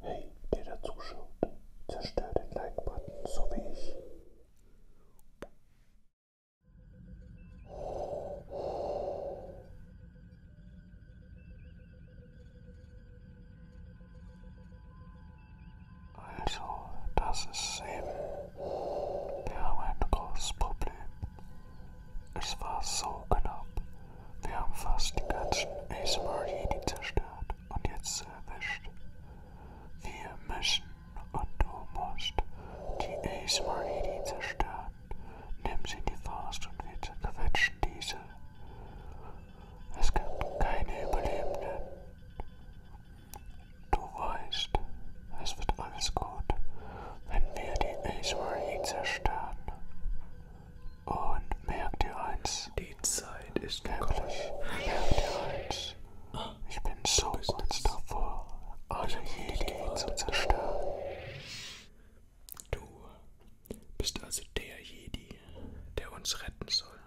Hey, der dazuschaut, zerstör den Like-Button, so wie ich. Also, das ist eben. Wir haben ein großes Problem. Es war so knapp. Wir haben fast die ganzen ASMR-Jedi zerstört und jetzt erwischt. Wir müssen und du musst die ASMR-Jedi zerstören. Nimm sie in die Faust und wir zerquetschen diese. Es gibt keine Überlebenden. Du weißt, es wird alles gut, wenn wir die ASMR-Jedi zerstören. Und merkt ihr eins? Die Zeit ist gekommen. Merkt ihr eins? Ich bin so kurz davor, alle Jedi zu zerstören. Du bist also der Jedi, der uns retten soll.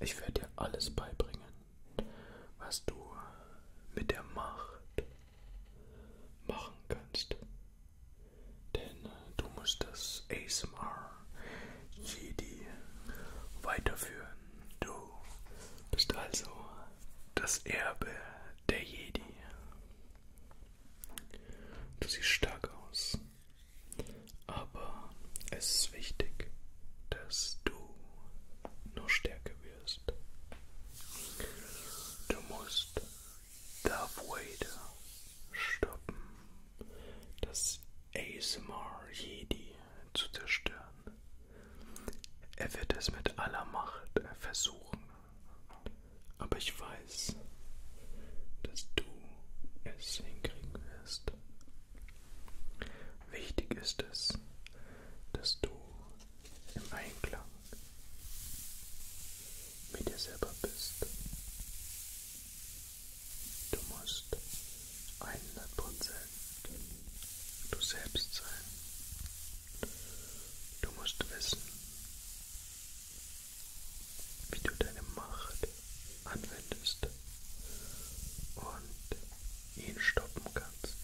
Ich werde dir alles beibringen, was du mit der Macht machen kannst denn du musst das ASMR Jedi weiterführen. Du bist also das Erbe der Jedi. Du siehst stark aus, aber es ist wichtig, dass du noch stärker wirst. Du musst Darth Vader stoppen, das ASMR Jedi zu zerstören. Er wird es mit aller Macht versuchen, aber ich weiß, dass du es hinkriegen wirst. Wichtig ist es, dass du im Einklang mit dir selber bist. Du musst 100% du selbst sein. Du musst wissen, wie du deine Macht anwendest und ihn stoppen kannst.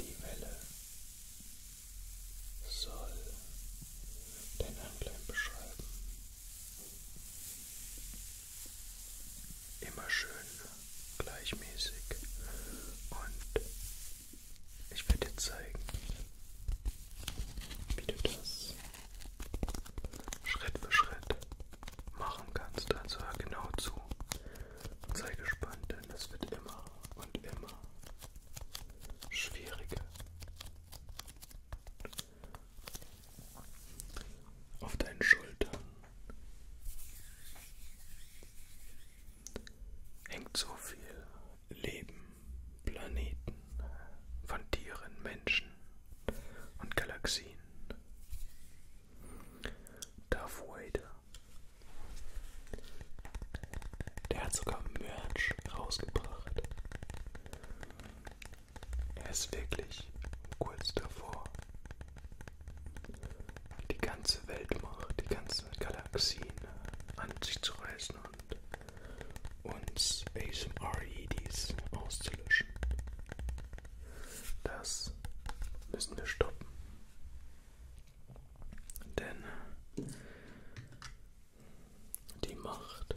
Die Welle soll dein Handlein beschreiben. Immer schön gleichmäßig und ich werde dir zeigen, wie du das Schritt für Schritt machen kannst. Also hör genau zu und sei gespannt, denn das wird immer und immer schwierige. Auf deinen Schultern hängt so viel Leben, Planeten, von Tieren, Menschen und Galaxien. Darth Vader. Der hat sogar Merch rausgebracht. Er ist wirklich kurz davor. Die ganze Weltmacht, die ganzen Galaxien an sich zu reißen und uns ASMR-EDs auszulöschen. Das müssen wir stoppen. Denn die Macht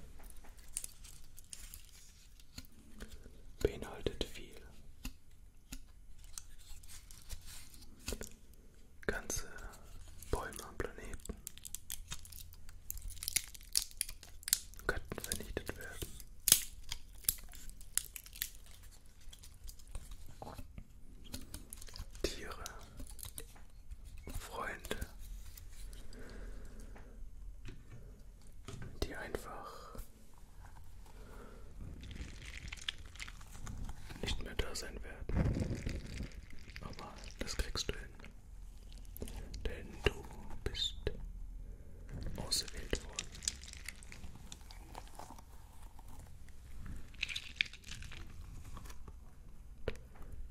beinhaltet viel. Ganze Bäume am Planeten könnten vernichtet werden. Tiere, Freunde, die einfach nicht mehr da sein werden. Aber das kriegst du hin. Denn du bist ausgewählt worden.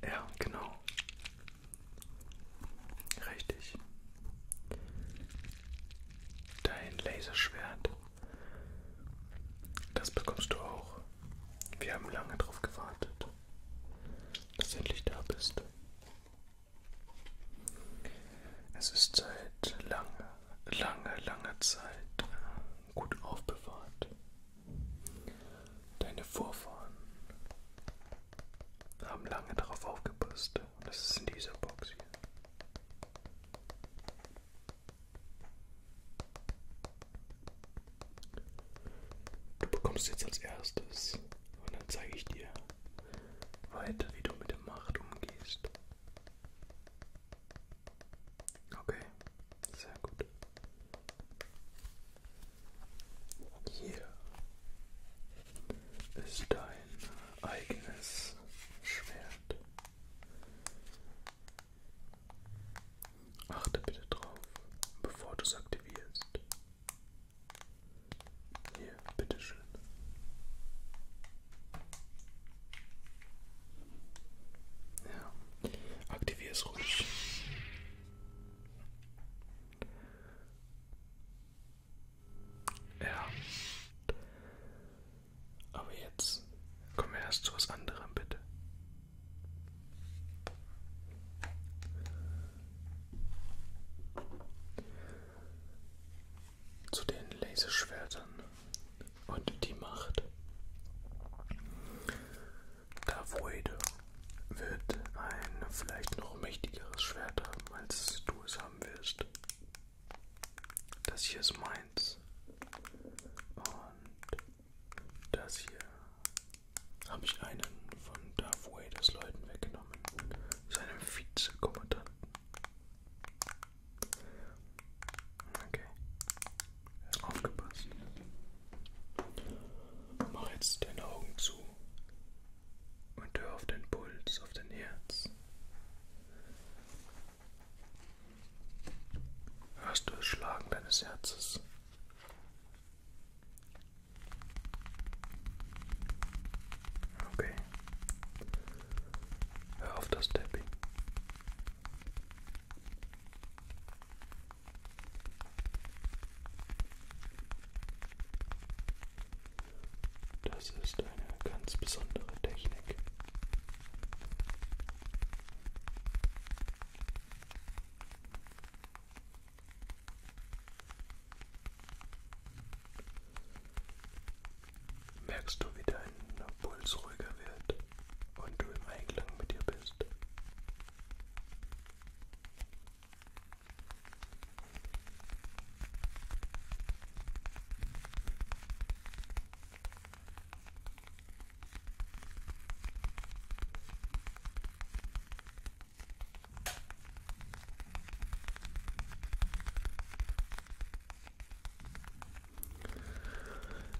Ja, genau. Richtig. Dein Laserschwert. Das bekommst du auch. Wir haben lange darauf gewartet, dass du endlich da bist. Es ist seit lange, lange, langer Zeit äh, gut aufbewahrt. Deine Vorfahren haben lange darauf aufgepasst. Und das ist in dieser Box hier. Du bekommst jetzt als erstes und dann zeige ich dir weiter, wie du mit der Macht umgehst. Okay, sehr gut. Hier ist dein eigenes Schwert. Achte bitte drauf, bevor du es aktivierst. Hier, bitteschön. Ja. Aktivier es ruhig. Ja. Aber jetzt kommen wir erst zu was anderem, bitte. Zu den Laserschwertern und die Macht. Da Void wird ein vielleicht noch mächtigeres Schwert haben, als du es haben wirst. Das hier ist meins. Und das hier habe ich einen von Darth Vaders Leuten weggenommen, seinem Vizekommandanten. Okay. Aufgepasst. Mach jetzt deine Augen zu und hör auf deinen Puls, auf dein Herz. Hörst du das Schlagen deines Herzes? Okay. Hör auf das Tapping. Das ist eine ganz besondere Technik. Merkst du, wie dein dein Puls ruhiger wird und du im Einklang mit dir bist.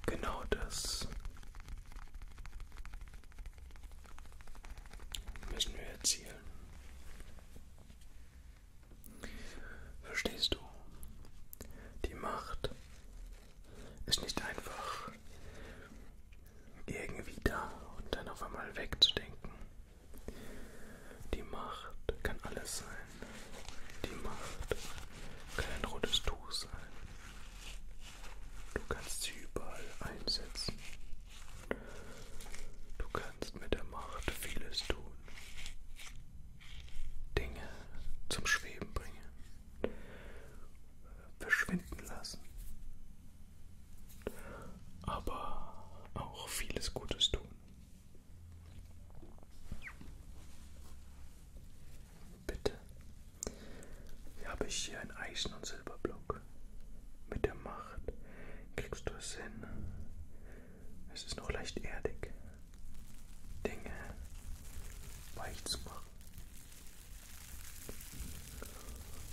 Genau das müssen wir erzielen. Verstehst du? Die Macht ist nicht einfach irgendwie da und dann auf einmal wegzudenken. Die Macht kann alles sein. Die Macht kann ein rotes Tuch sein. Du kannst sie überall einsetzen. Du kannst mit der Macht vieles tun. Dinge zum Schweben bringen. Verschwinden lassen. Aber auch vieles Gutes tun. Bitte. Hier habe ich hier einen Eisen- und Silberblock. Mit der Macht kriegst du es hin. Es ist noch leicht erdig, Dinge weich zu machen.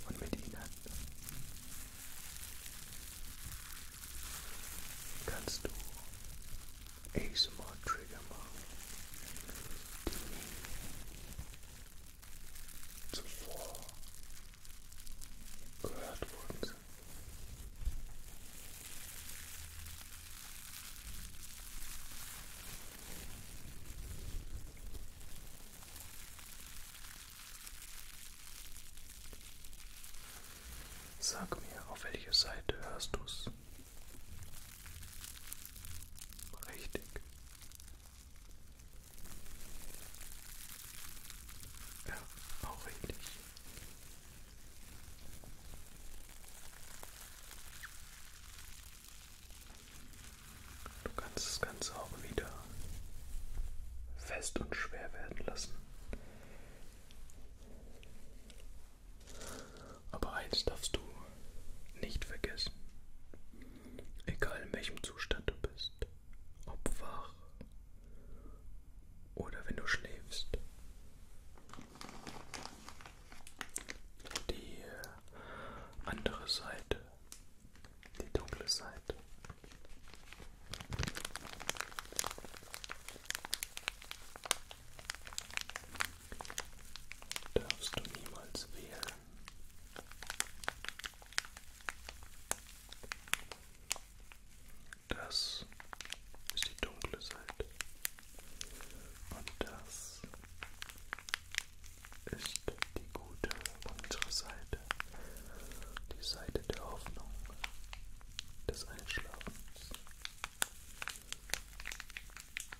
Und mit ihnen kannst du ASMR Trigger machen, die nie zuvor gehört worden sind. Sag mir, auf welcher Seite hörst du's? Richtig. Ja, auch richtig. Du kannst das Ganze auch wieder fest und schwer werden lassen. Aber eins darfst du nicht vergessen. Egal in welchem Zustand du bist, ob wach oder wenn du schläfst. Die andere Seite, die dunkle Seite darfst du niemals wählen. Das ist die dunkle Seite und das ist die gute unsere Seite, die Seite der Hoffnung, des Einschlafens.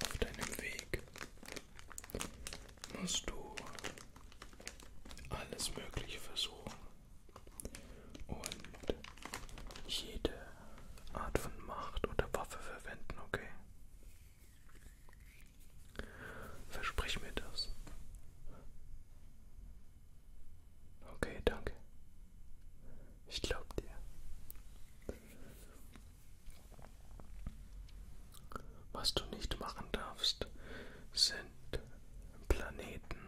Auf deinem Weg musst du alles Mögliche versuchen und jede Art von Macht oder Waffe verwenden, okay? Versprich mir das. Okay, danke. Ich glaub dir. Was du nicht machen darfst, sind Planeten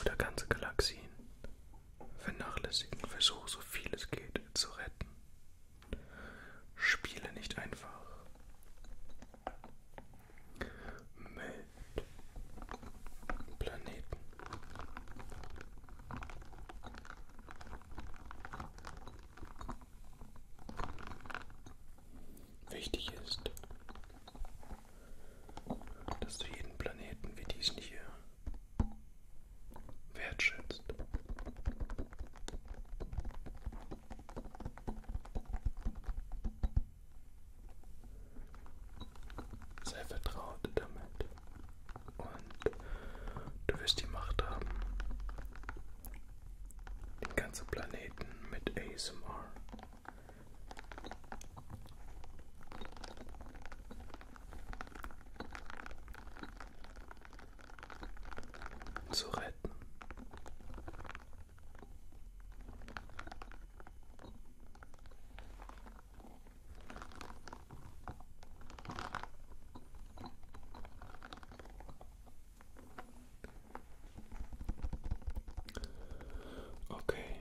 oder ganze Galaxien Vernachlässigen, versuche so viel es geht zu retten. Spiele nicht einfach. Mit Planeten. Wichtig ist, dass du jeden Planeten wie diesen hier wertschätzt. Sei vertraut damit und du wirst die Macht haben, den ganzen Planeten mit ASMR zu retten. Okay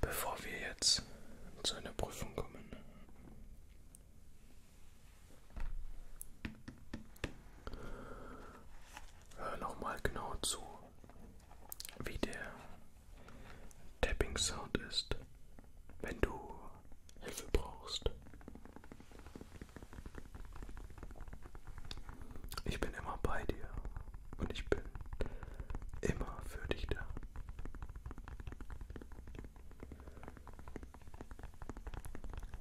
bevor wir jetzt zu einer Prüfung kommen. Hör nochmal genau zu, wie der Tapping Sound ist, wenn du Hilfe brauchst. Ich bin immer bei dir und ich bin immer für dich da.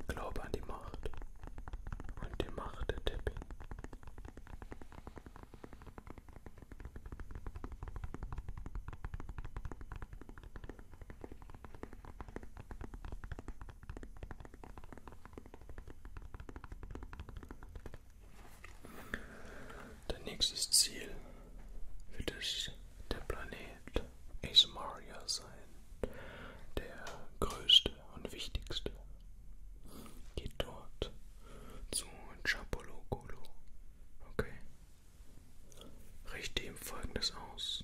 Glaube an die Macht und die Macht der Tippi. Dein nächstes Ziel wird es der Planet Asmaria sein, der größte und wichtigste. Geht dort zu Chapologolo. Okay. Richte ihm folgendes aus.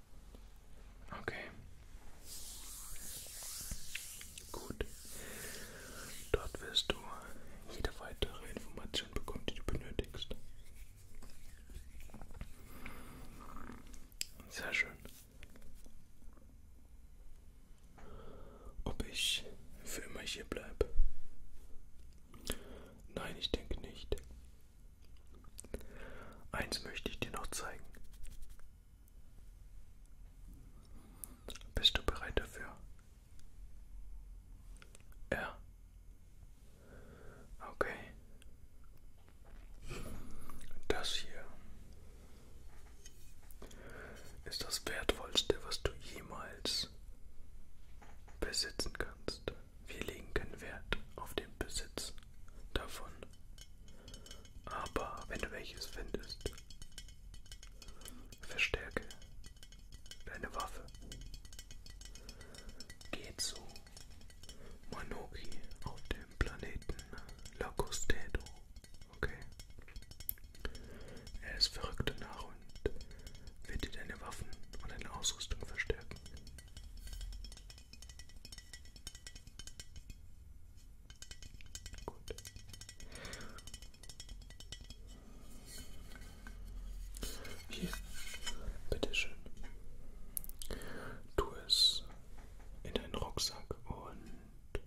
Okay. Gut. Dort wirst du jede weitere Information bekommen, die du benötigst. Sehr schön. Ob ich für immer hier bleibe? Nein, ich denke nicht. Eins möchte ich dir noch zeigen. Bist du bereit dafür? Ja. Okay. Das hier ist das Wertvollste, was du jemals besitzen kannst. Wir legen keinen Wert auf den Besitz eins davon. Aber wenn du welches findest, verstärke deine Waffe. Geh zu Manoki auf dem Planeten Lacostedo. Okay? Er ist verrückt nach und wird dir deine Waffen und deine Ausrüstung verstärken. Gut. Hier, bitteschön. Tu es in deinen Rucksack und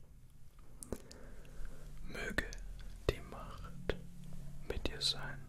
möge die Macht mit dir sein.